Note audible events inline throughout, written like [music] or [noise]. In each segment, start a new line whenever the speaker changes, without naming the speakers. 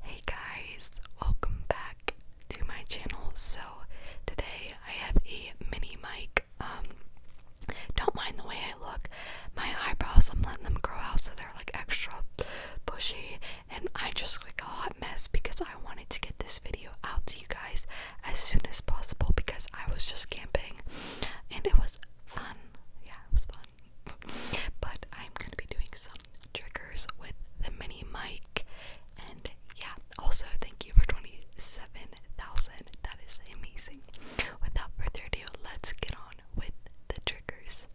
Hey guys, welcome back to my channel. So today I have a mini mic. Um, don't mind the way I look. My eyebrows, I'm letting them grow out so they're like extra bushy and I just like a hot mess because I wanted to get this video out to you guys as soon as possible because I was just camping and it was fun. Yeah, it was fun. [laughs] but I'm gonna be doing some triggers with the mini mic. And yeah, also thank you for 27,000. That is amazing. Without further ado, let's get on with the triggers.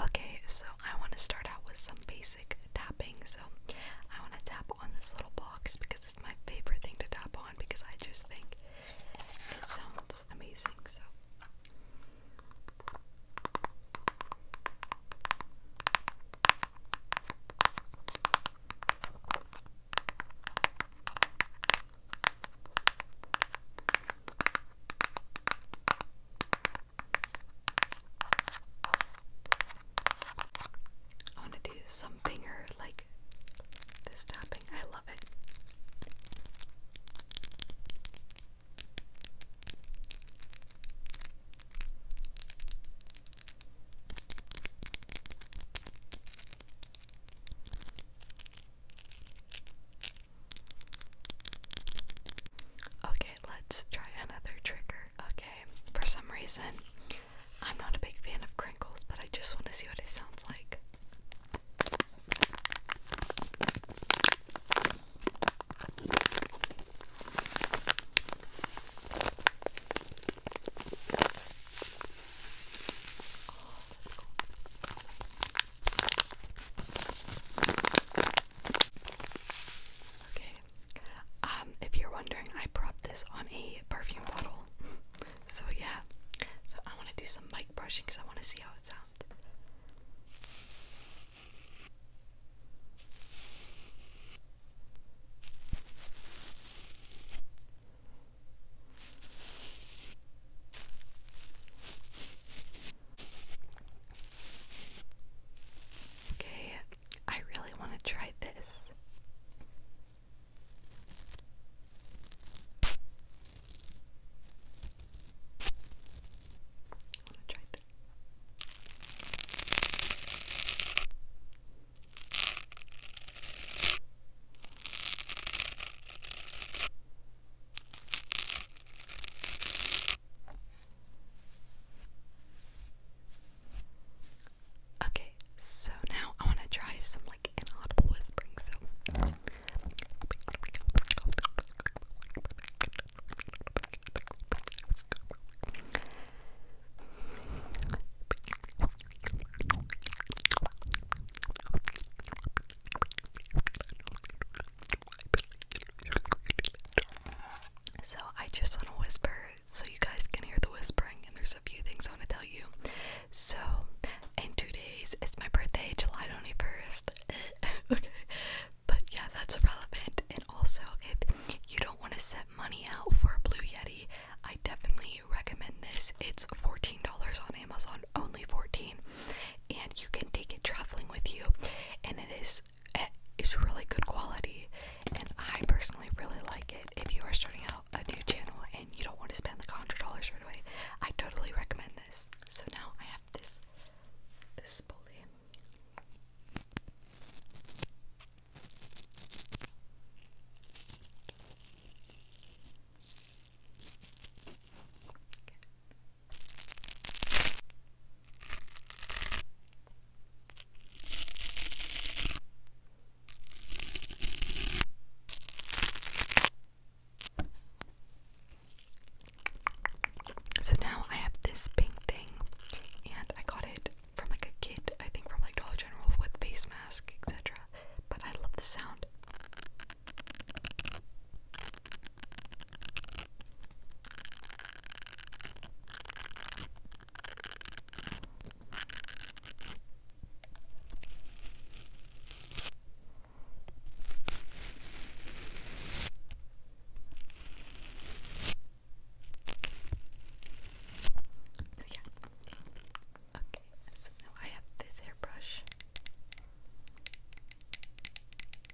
Okay, so I want to start out with some basic tapping. So I want to tap on this little box because it's my favorite thing to tap on because I just think it sounds amazing, so I want to do some finger like this tapping. I love it. Okay, let's try another trigger. Okay, for some reason, I'm not a big fan of crinkles, but I just want to see what it sounds like. Okay. Um, if you're wondering, I propped this on a perfume bottle. [laughs] So yeah, so I want to do some mic brushing because I want to see how it sounds. Okay, I really want to try this. I'm gonna try this. Okay, so now I want to try some like inaudible whispering. So. So I just want to whisper so you guys can hear the whispering, and there's a few things I want to tell you. So, in two days, it's my birthday, July 21st. [laughs] okay, but yeah, that's relevant. And also, if you don't want to set money out for a Blue Yeti, I definitely recommend this. It's $14 on Amazon, only 14 and you can take it traveling with you, and it is it's really good quality and I personally really like it. If you are starting out a new channel and you don't want to spend the $100 right away, I totally recommend this. So now I have this this spoolie. So now I have this pink thing, and I got it from like a kit, I think from like Dollar General with face mask, etc. But I love the sound. So yeah. Okay, so now I have this hairbrush.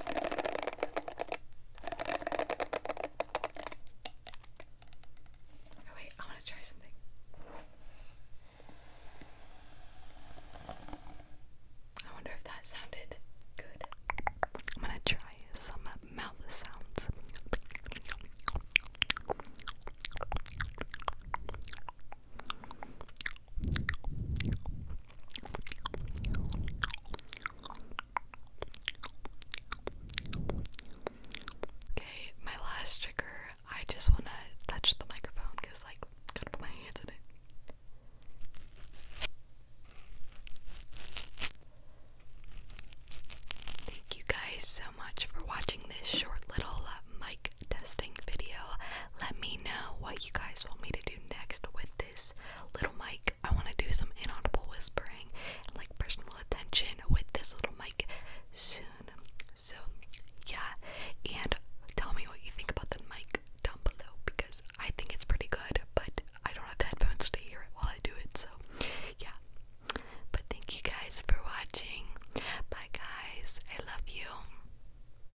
Oh wait, I want to try something. I wonder if that sounded good. I'm gonna try some mouth sounds. Okay, my last trigger. I just want to touch the microphone because, like, gotta put my hands in it. Thank you guys so much for watching this short little uh, mic testing video. Let me know what you guys want me to do next with this little mic. I want to do some inaudible whispering and like personal attention with this little mic soon. So, yeah, and tell me what you think about the mic down below because I think it's pretty good, but I don't have the headphones to hear it while I do it. So, yeah. But thank you guys for watching. Bye, guys. I love you.